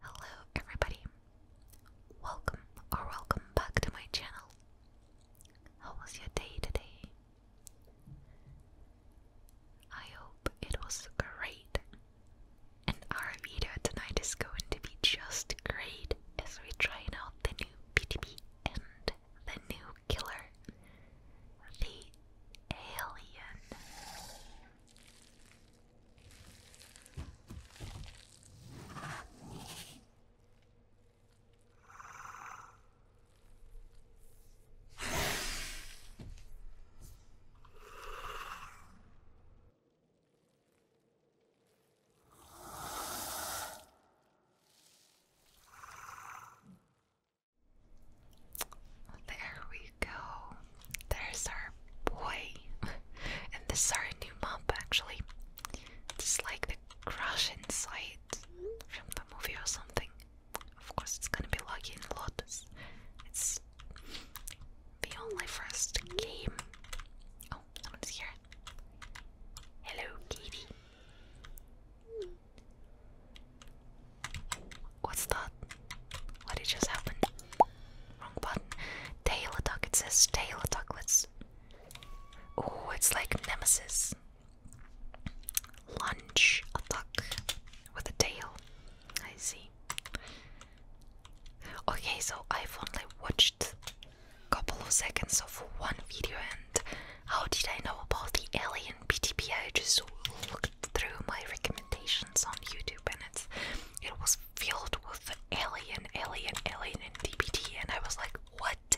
Hello everybody. Welcome or welcome back to my channel. How was your day today? I hope it was great. And our video tonight is going to be just great as we try out the new PTB and the new killer, the alien. There we go. There's our boy. and this is our new map, actually. It's like the crash inside from the movie or something. Of course, it's gonna be Lucky and Lotus. It's the only first game. Oh, someone's here. Hello, Katie. What's that? What did just happen? Wrong button. Tail attack, it says tail attack. Let's. Oh, it's like Nemesis. Lunge attack with a tail. I see. Okay, so I've only watched a couple of seconds of one video, and how did I know about the alien PTP? I just looked through my recommendations on YouTube, and it's it was filled with alien, alien, alien, and DBT, and I was like, what?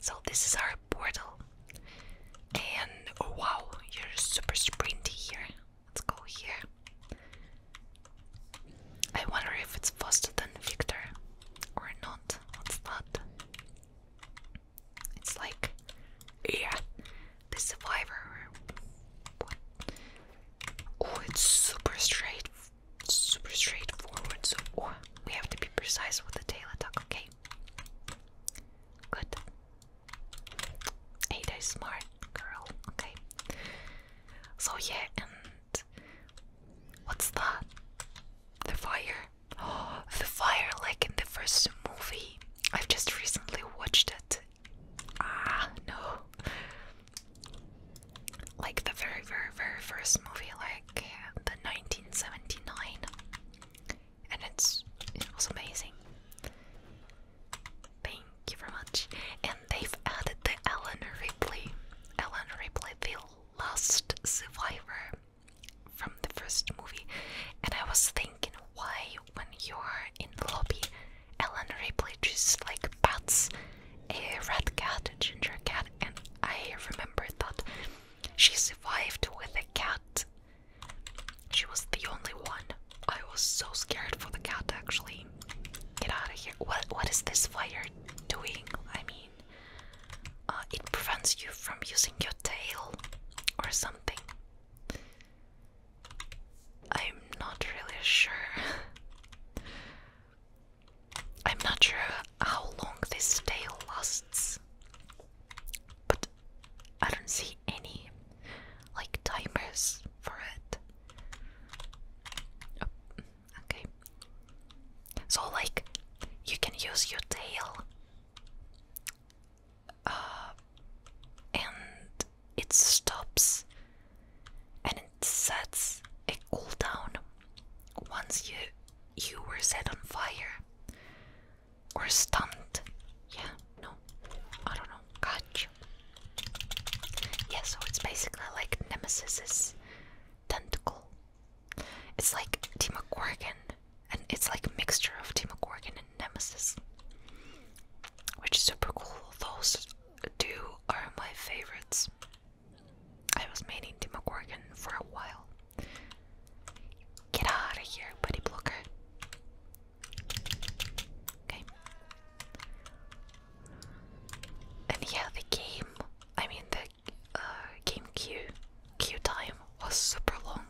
So this is our portal. And oh wow, you're super sprinty here. Let's go here. I wonder if it's faster than Victor or not. What's that? It's like, yeah, the survivor. Oh, it's super straight, super straightforward. So oh, we have to be precise with the tail attack. Okay. Good. Ada is smart girl. Okay. So yeah, and what's that? The fire. Oh, the fire, like in the first movie. I've just recently watched it, Ah, no. Like the very, very, very first movie, like the 1979. And it's it was amazing. Thank you very much. And they've added the Ellen Ripley. Ellen Ripley, the last survivor from the first movie. And I was thinking why when you're in the lobby, Ellen Ripley just like bats a red cat, a ginger cat, and I remember that she survived with a cat. She was the only one. I was so scared for the cat actually. Get out of here. What what is this fire doing? I mean uh, it prevents you from using your tail or something. I'm not really sure. I'm not sure how long this tail lasts, but I don't see any like timers for it. Oh, okay. So, like, you can use your tail uh, and it stops and it sets a cooldown once you you were set on fire or stunned. Yeah, no, I don't know. Gotcha. Yeah, so it's basically like Nemesis's tentacle. It's like Demogorgon, and it's like mixture of Demogorgon and Nemesis, which is super cool. Those two are my favorites. I was meaning Demogorgon for a while. Get out of here, buddy blocker. Okay. And yeah, the game, I mean the uh, game time was super long.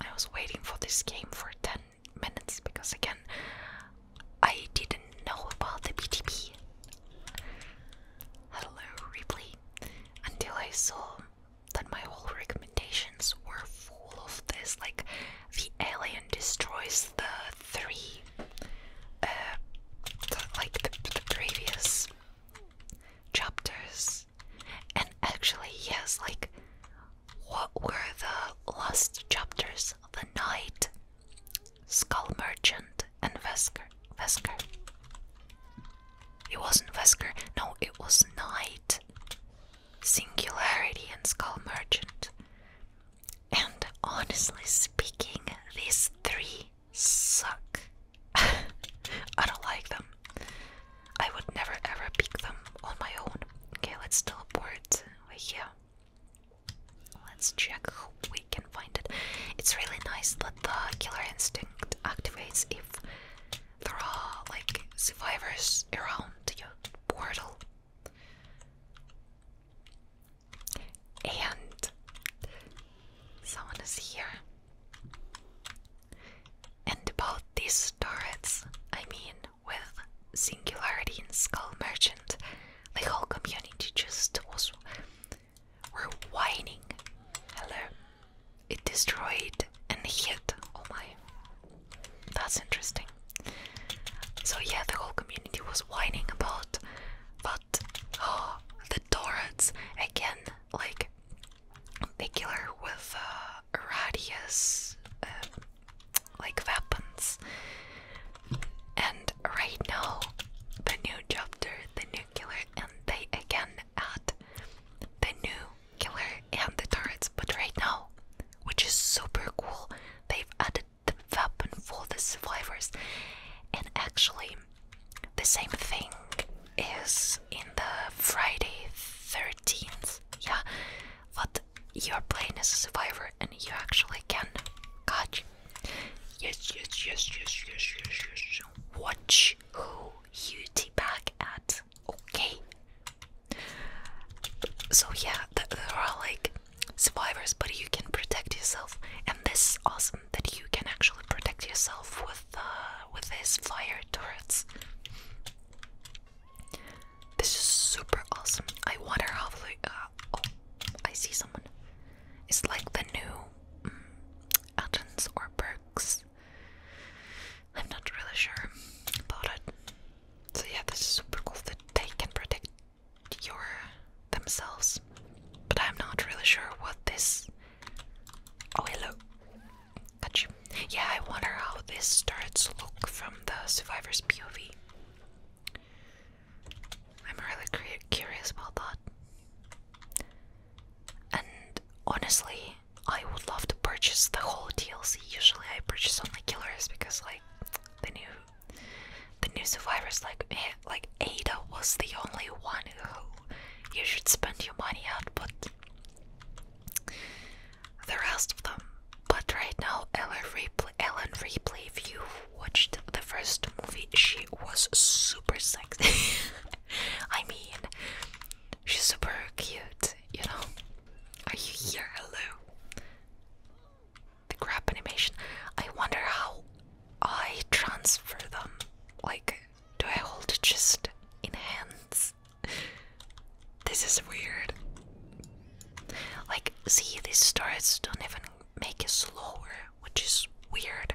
I was waiting for this game for 10 minutes because again, I didn't know about the BTP. Hello, Ripley. Until I saw that my whole recommendations were full of this, like the alien destroys the three, uh, like the, the previous chapters. And actually, yes, like what were the last chapters? The night Skull Merchant, and Vesker. Vesker. It wasn't Vesker. No, it was Knight. Singularity and Skull Merchant. And honestly speaking, these three suck. I don't like them. I would never ever pick them on my own. Okay, let's teleport right here. Let's check we can find it. It's really nice that the killer instinct activates if there are like survivors around your portal. And someone is here. And about these turrets, I mean, with Singularity and Skull Merchant, the whole community just was were whining. Hello. It destroyed and hit. Oh my. That's interesting. So yeah, the whole community was whining about but oh the turrets again like they with uh, radius um, like weapons and right now, the new chapter, the new killer, and they again add the new killer and the turrets. But right now, which is super cool, they've added the weapon for the survivors. And actually, the same thing is in the Friday 13th. Yeah, but you're playing as a survivor and you actually can catch Yes, yes, yes, yes, yes, yes, yes. Watch who you teabag at, okay? So yeah, th there are like survivors, but you can protect yourself, and this is awesome that you can actually protect yourself with uh, with these fire turrets. This is super awesome. I wonder how. Uh, oh, I see someone. It's like the new mm, or Berks. I'm not really sure about it. So yeah, this is super cool that they can protect your themselves. But I'm not really sure what this Oh hello. Got you. Yeah, I wonder how this starts look from the survivor's POV. I'm really curious about that. And honestly, I would love to purchase the whole DLC. Usually, I purchase only killers because, like, the new, the new survivors, like, eh, like Ada was the only one who you should spend your money on. But the rest of them. But right now, Ellen replay, Ellen Ripley, if watched the first movie, she was super sexy. I mean, she's super cute, you know. Are you here? Hello. The grab animation. I wonder how I transfer them. Like, do I hold it just in hands? This is weird. Like, see, these stars don't even make it slower which is weird.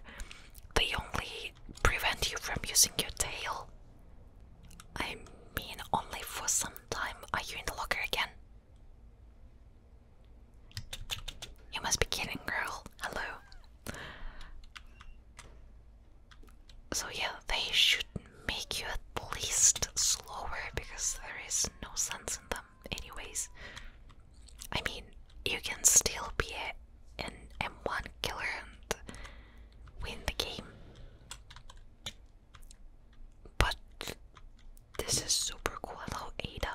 They only prevent you from using your tail. I mean, only for some time. Are you in the locker again? You must be kidding, girl. Hello. So, yeah, they should make you at least slower because there is no sense in them anyways, I mean, you can still be a, an M1 killer and win the game. But this is super cool. Hello, Ada.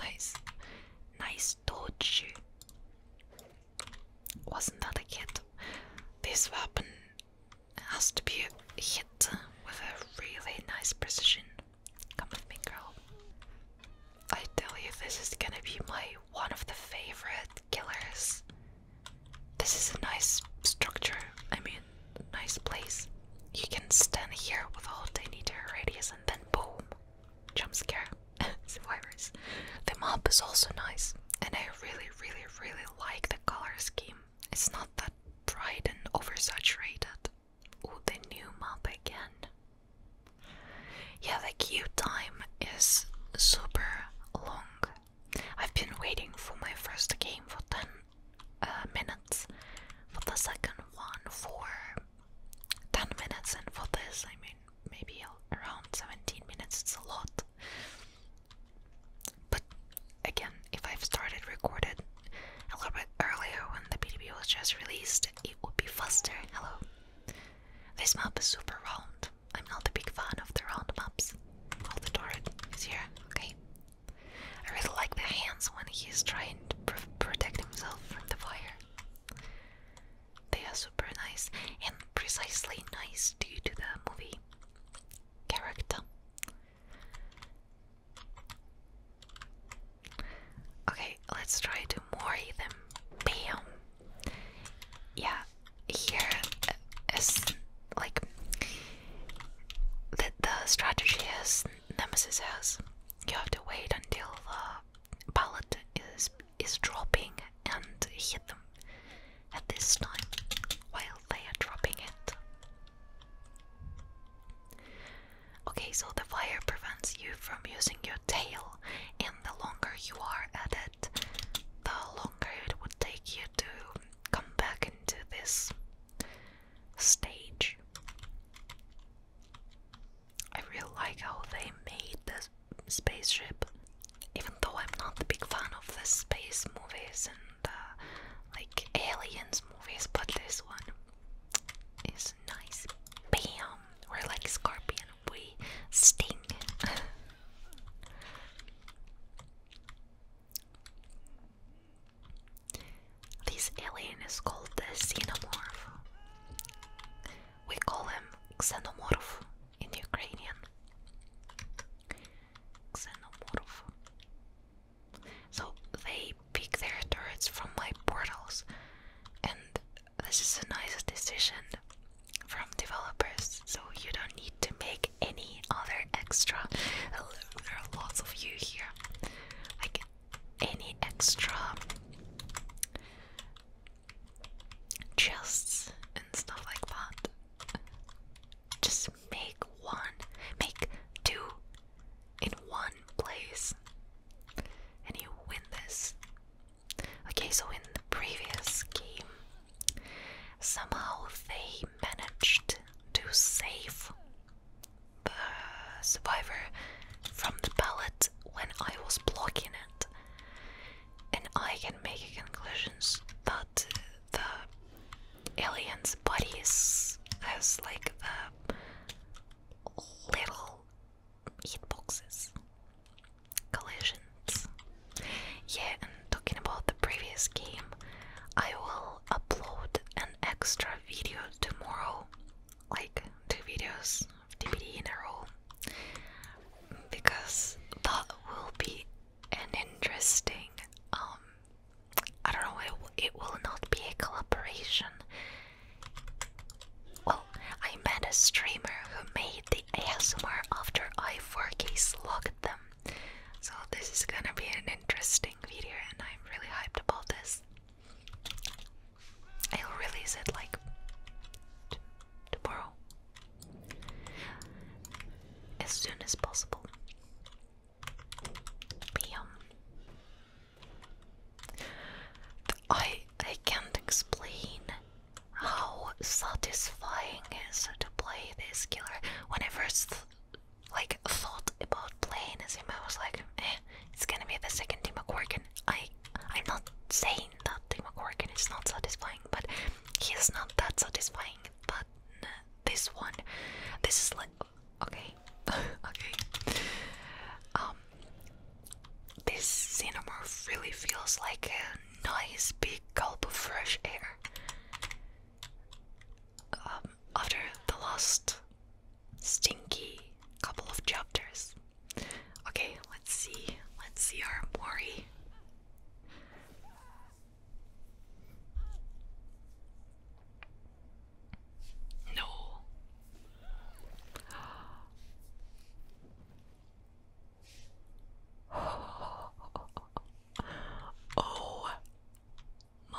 Nice, nice dodge. Wasn't that a hit? This weapon has to be hit with a really nice precision. Come with me, girl. I tell you, this is gonna be my one of the favorite killers. This is a nice structure. I mean, nice place. You can stand here with a ten-meter radius, and then boom, jump scare survivors. The map is also nice, and I really, really, really like the color scheme. It's not that bright and oversaturated. Ooh, the new map again. Yeah, the queue time is super long. I've been waiting for my first game for 10 uh, minutes, for the second one for 10 minutes, and for this, I mean, maybe around 17 minutes. It's a lot. But again, if I've started recording a little bit earlier when the PDB was just released, it would be faster. Hello. This map is super round. I'm not a big fan of the round maps. Oh, the turret is here. Okay. I really like the hands when he's trying to protect himself from the fire. They are super nice and precisely nice due to the movie character. Okay, let's try to moray them. Bam! Yeah, here uh, is like the, the strategy is Nemesis has you have to wait until the pallet is is dropping and hit them at this time while they are dropping it. Okay, so the fire prevents you from using your tail, and the longer you are at it, the longer it would take you to come back into this stage. I really like how they made this spaceship, even though I'm not a big fan of the space movies and like aliens movies, but this one it's nice. Bam! We're like scorpion. We sting. this alien is called the xenomorph. We call him xenomorph in Ukrainian. Xenomorph. So they pick their turrets from my portals, and this is a nice decision from developers. So you don't need to make any other extra. There are lots of you here. Like any extra chests and stuff like that. Just make one, make two, in one place. And you win this. Okay, so in the previous game, somehow they managed to save the survivor from the pellet when I was blocking it. And I can make conclusions that the alien's body is, has like the little hitboxes, collisions. Yeah, and talking about the previous game, I will upload an extra video tomorrow, like two videos DVD in a row, because that will be an interesting. Um, I don't know. It, it will not be a collaboration. Well, I met a streamer who made the ASMR after I 4K slogged them. So this is gonna be an interesting video and I'm really hyped about this. I'll release it like tomorrow. As soon as possible. Bam. I I can't explain how satisfying it is to play this killer. When I first like thought about playing him, I was like, eh, it's gonna be the second Tim McCorkin. I I'm not saying that Tim McCorkin is not satisfying, but he's not that satisfying. But this one, this is like Okay, okay. Um, this cinema really feels like a nice big gulp of fresh air. Um, after the last stinky couple of chapters. Okay, let's see. Let's see our Mori. No. Oh my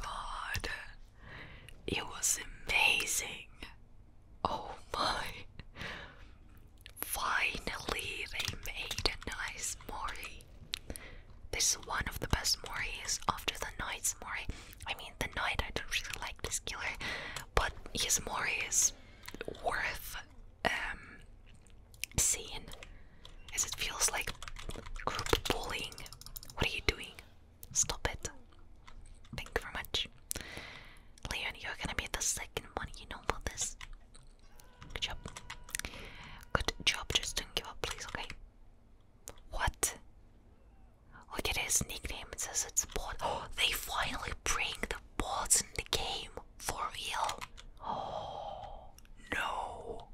god. It was amazing. Oh my. Finally, they made a nice mori. This is one of the best moris after the night's mori. I mean, the knight, I don't really like this killer, but his Mori is worth um, seeing, as it feels like group bullying. What are you doing? Stop it. Thank you very much. Leon, you're gonna be the second one, you know about this. Good job. Good job, just don't give up, please, okay? What? Look at his nickname, it says it's bot. Oh, they finally bring the balls in the game for real. Oh, no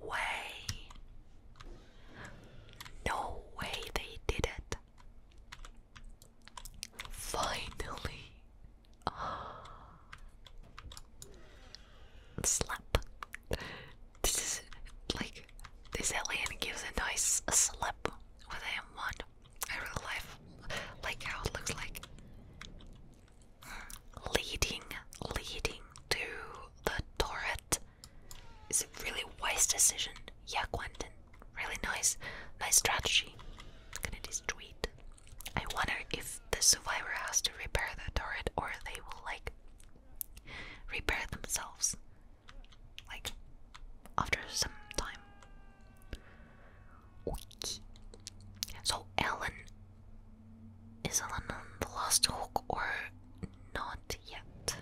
way. No way they did it. Finally. Slap. This is like this alien gives a nice slip with M1. I really like like how it looks like. Leading, leading to the turret is it really wise decision. Yeah, Quentin, really nice, nice strategy. gonna destroy it. I wonder if the survivor has to repair the turret or they will like repair themselves like after some time. So Ellen is Ellen on the last hook or not yet?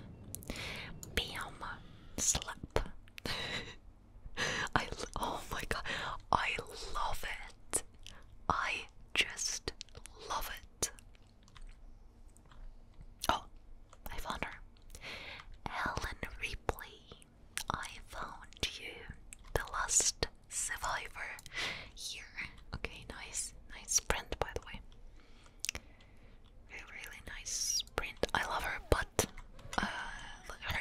Bam slap. I oh my god, I love it. I just love it. Oh, I found her. Helen Ripley, I found you. The last survivor here. Okay, nice. Nice sprint, by the way. Really, nice sprint. I love her, but uh, her.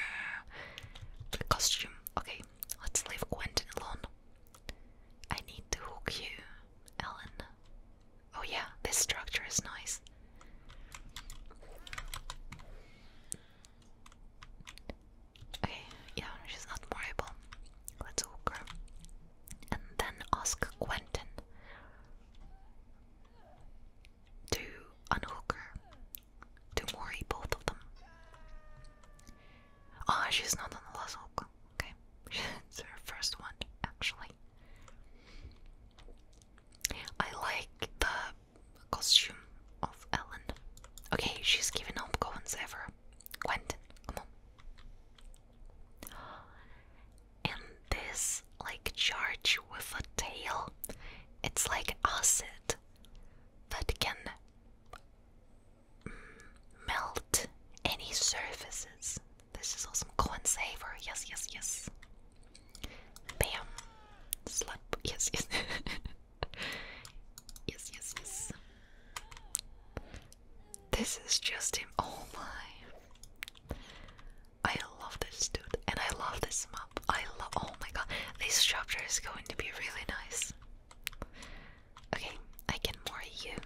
costume. Okay, let's leave Quentin alone. I need to hook you, Ellen. Oh, yeah, this structure is nice. Okay, yeah, she's not morable. Let's hook her. And then ask Quentin to unhook her. To worry both of them. Ah, she's not on the last Okay, it's her first one, actually. I like the costume of Ellen. Okay, she's giving up Cohen's ever. Quentin, come on. And this, like, charge with a tail, it's like acid that can mm, melt any surfaces. This is awesome. coin saver. Yes, yes, yes. Bam. Slap. Yes, yes. yes, yes, yes. This is just him. Oh my. I love this dude. And I love this map. I love. Oh my god. This chapter is going to be really nice. Okay, I can more you.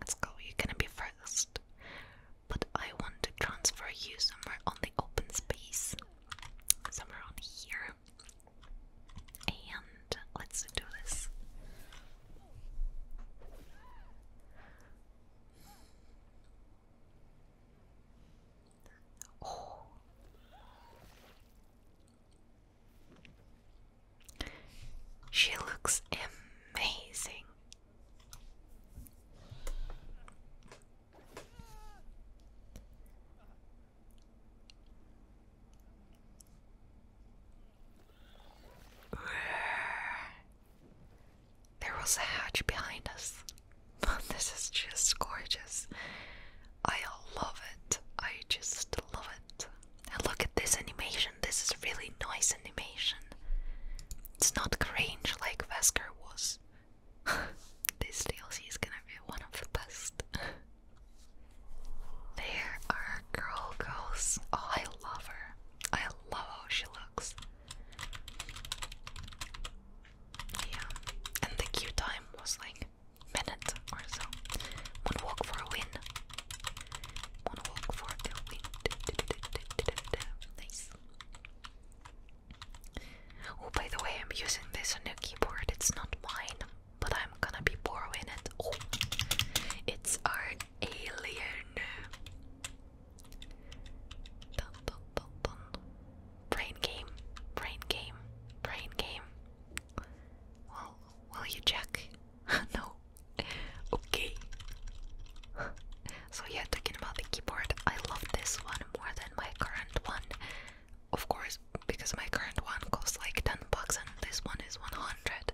Let's go. You're gonna be first but I want to transfer you somewhere on the open space, somewhere on here. And let's do this. Oh. She looks amazing. There was a hatch behind us. this is just gorgeous. I love it. I just love it. And look at this animation. This is really nice animation. It's not grange like Vesker was. this DLC is gonna be one of the best. there are girl goes. Oh, I love her. I love how she looks. Yeah, and the queue time was like minute or so. Moonwalk for a win. Wanna walk for the wind. Nice. Oh, by the way, I'm using this on a keyboard. It's not mine, but I'm gonna be borrowing it. Oh, it's our alien. Brain game, brain game, brain game. Well, will you check? no okay. so yeah, talking about the keyboard, I love this one more than my current one. Of course, because my current one costs like 10 bucks and this one is 100.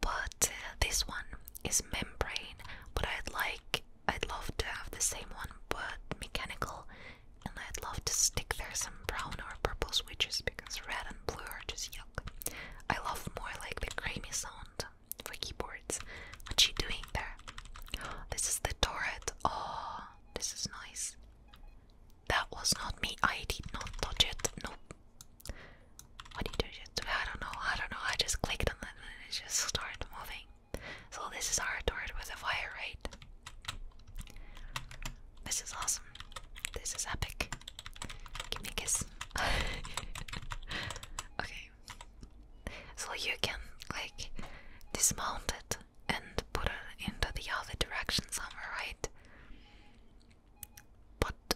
But uh, this one is membrane, but I'd like I'd love to have the same one but mechanical and I'd love to stick there some brown or purple switches because red and blue are just yuck. I love more like the creamy sound for keyboards. What's she doing there? This is the turret. Oh, this is nice. That was not me. I did not touch it. Nope. What did you do? I don't know. I don't know. I just clicked on it and it just started moving. So this is our turret with a fire rate. This is awesome. This is epic. Give me a kiss. okay, so you can like dismount it and put it into the other direction somewhere, right? But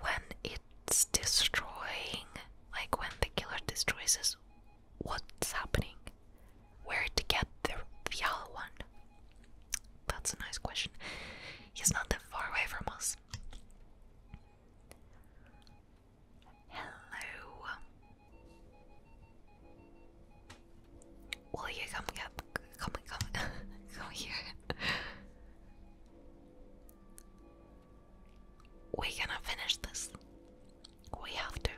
when it's destroying, like when the killer destroys us, what's happening? Where to get the, yellow one? That's a nice question. He's not that far away from us. Hello. Will you come get come here? We're gonna finish this. We have to.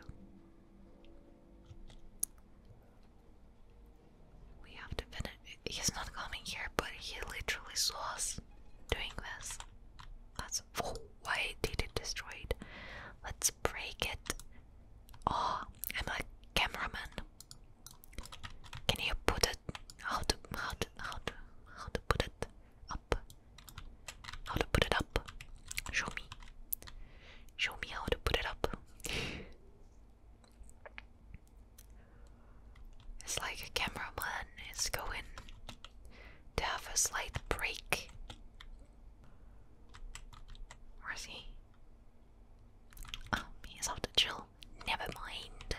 We have to finish. He's not coming here, but he literally saw us doing this. That's oh, why did it destroyed. Let's break it. Oh, I'm like cameraman. Can you put it? How to how to how to how to put it up? How to put it up? Show me. Show me how to put it up. It's like a camera man is going to have a slight break. Where's he? Oh, he's off to chill. Never mind.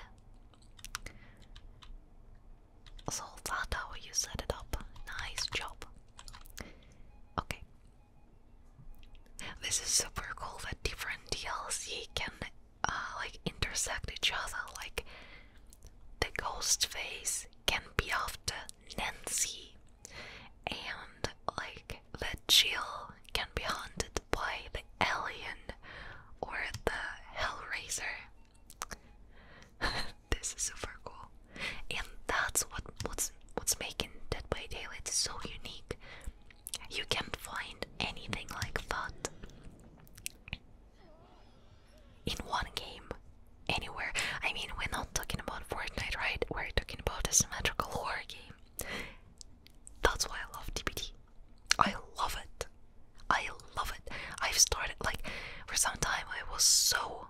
So that's how you set it up. Nice job. Okay. This is super cool that different DLC can uh, like intersect each other. Like the ghost face can be after Nancy, and like the Jill can be haunted by the alien or the Hellraiser. this is super cool, and that's what what's what's making Dead by Daylight so unique. You can't find anything like that in one game anywhere. I mean, we're not talking about Fortnite, right? We're talking about a symmetrical horror game. That's why I love DBD. I love it. I love it. I've started like for some time I was so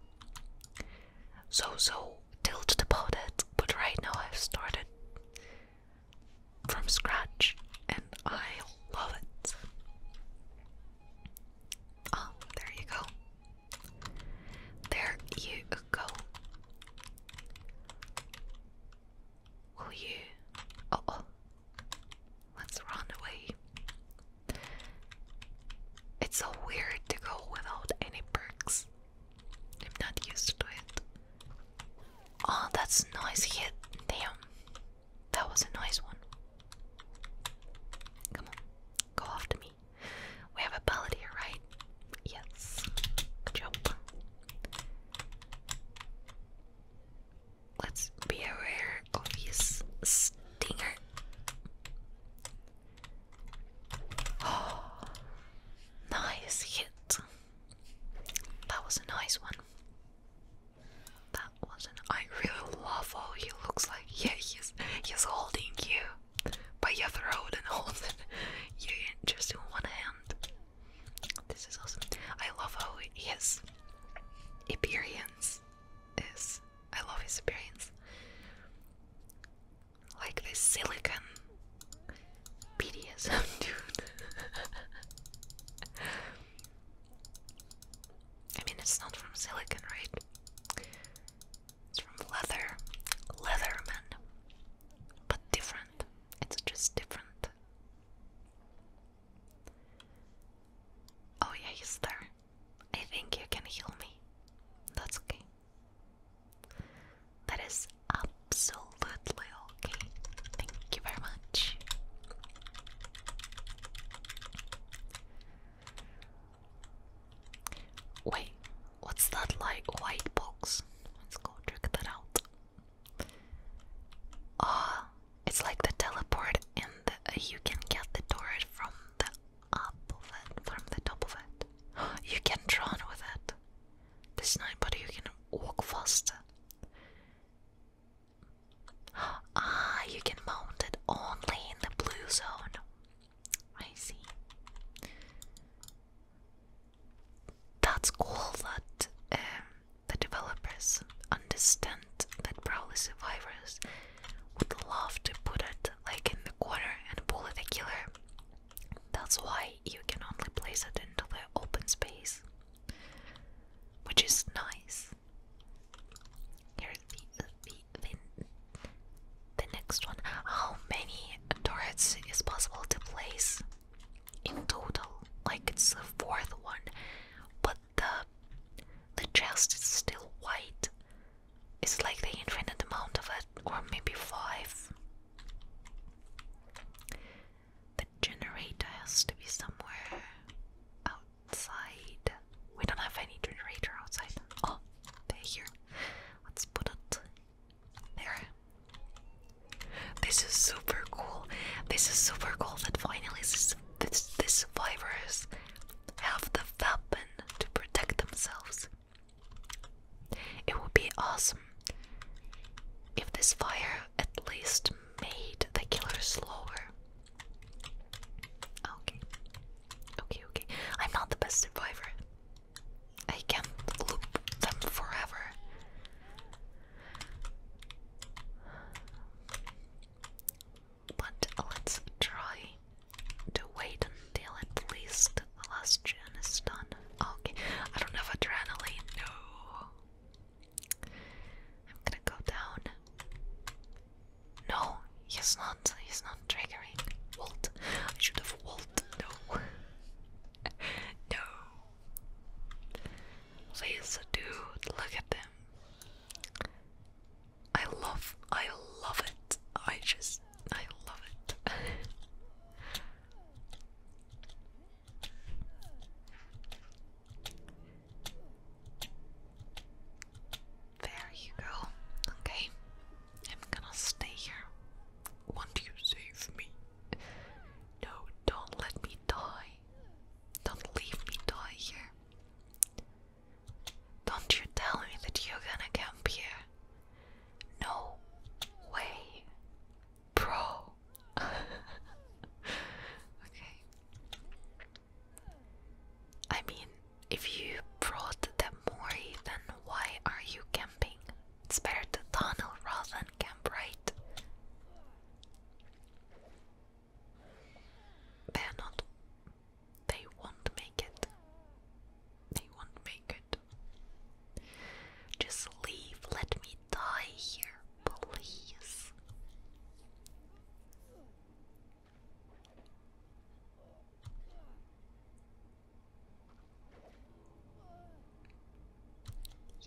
so so tilted about it, but right now I've started from scratch and I love it. Oh, there you go. There you go. Will you? Oh, oh, let's run away. It's so weird to go without any perks. I'm not used to it. Oh, that's nice Damn. That was a nice one. Come on, go after me. We have a pellet here, right? Yes. Good Let's be aware of his stinger. nice hit. That was a nice one. That wasn't. I really love how he looks like. Yeah, he's he's holding you by your throat and holding you just in one hand. This is awesome. I love how his appearance is. I love his appearance. Like this silicon BDSM dude. I mean, it's not from silicon, right? It's from leather, Leatherman, but different. It's just different. Oh, yeah, he's there. I think you can heal me. That's okay. That is absolutely okay. Thank you very much. Wait, what's that like white box? Let's go check that out. Ah, it's like the teleport, and you can get the door from the up of it, from the top of it. You can run with it. This night, but you can walk faster. Ah, you can mount it only in the blue zone. I see. That's cool that um, the developers understand that probably survivors would love to put it like in the corner and bully the killer. That's why you can only place it into the open space, which is nice. Here's the, the, the, next one. How many turrets is possible to place in total? Like it's the fourth one, but the the chest is still white. It's like the infinite amount of it, or maybe five. The generator has to be somewhere out outside. We don't have any generator outside. Oh, they're here. Let's put it there. This is super cool. This is super cool that finally this, this, this survivors have the weapon to protect themselves. It would be awesome if this fire at least made the killer slower. Okay. Okay, okay. I'm not the best survivor. I can't loop them forever. But let's try to wait until at least the last gen is done. Okay, I don't have adrenaline, no. I'm gonna go down. No, he's not. He's not triggering. Walt. I should have Walt. No. no. Please, dude, look at them. I love, I love it. I just, I love it. There you go. Okay. I'm gonna stay here. Won't you save me? No, don't let me die. Don't leave me die here. Don't you tell me that you're gonna camp here. No way. Bro. okay. I mean, if you brought them more, then why are you camping? It's better to tunnel rather than camp, right? They're not. They won't make it. They won't make it. Just leave. Let me die here, please.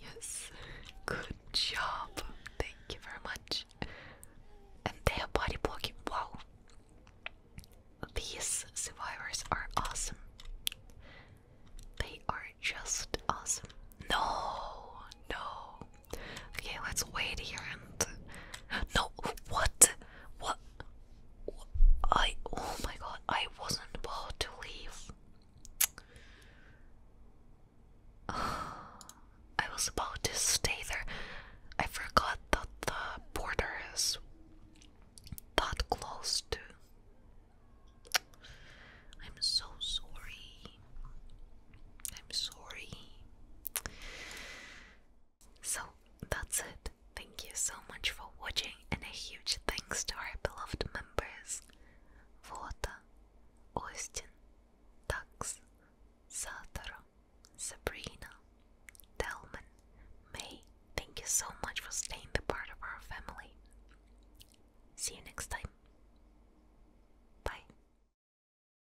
Yes, good job. Thank you very much. And they body blocking. Wow, these survivors are awesome. They are just awesome. No, no. Okay, let's wait here and no, what? What? I oh my god, I wasn't about to leave. I was about to stay there. I forgot that the border is that close to. I'm so sorry. I'm sorry. So that's it. Thank you so much for watching, and a huge thanks to our beloved members Vota, Austin, Tux, Satoro, Sabrina, Delman, May. Thank you so much for staying the part of our family. See you next time. Bye.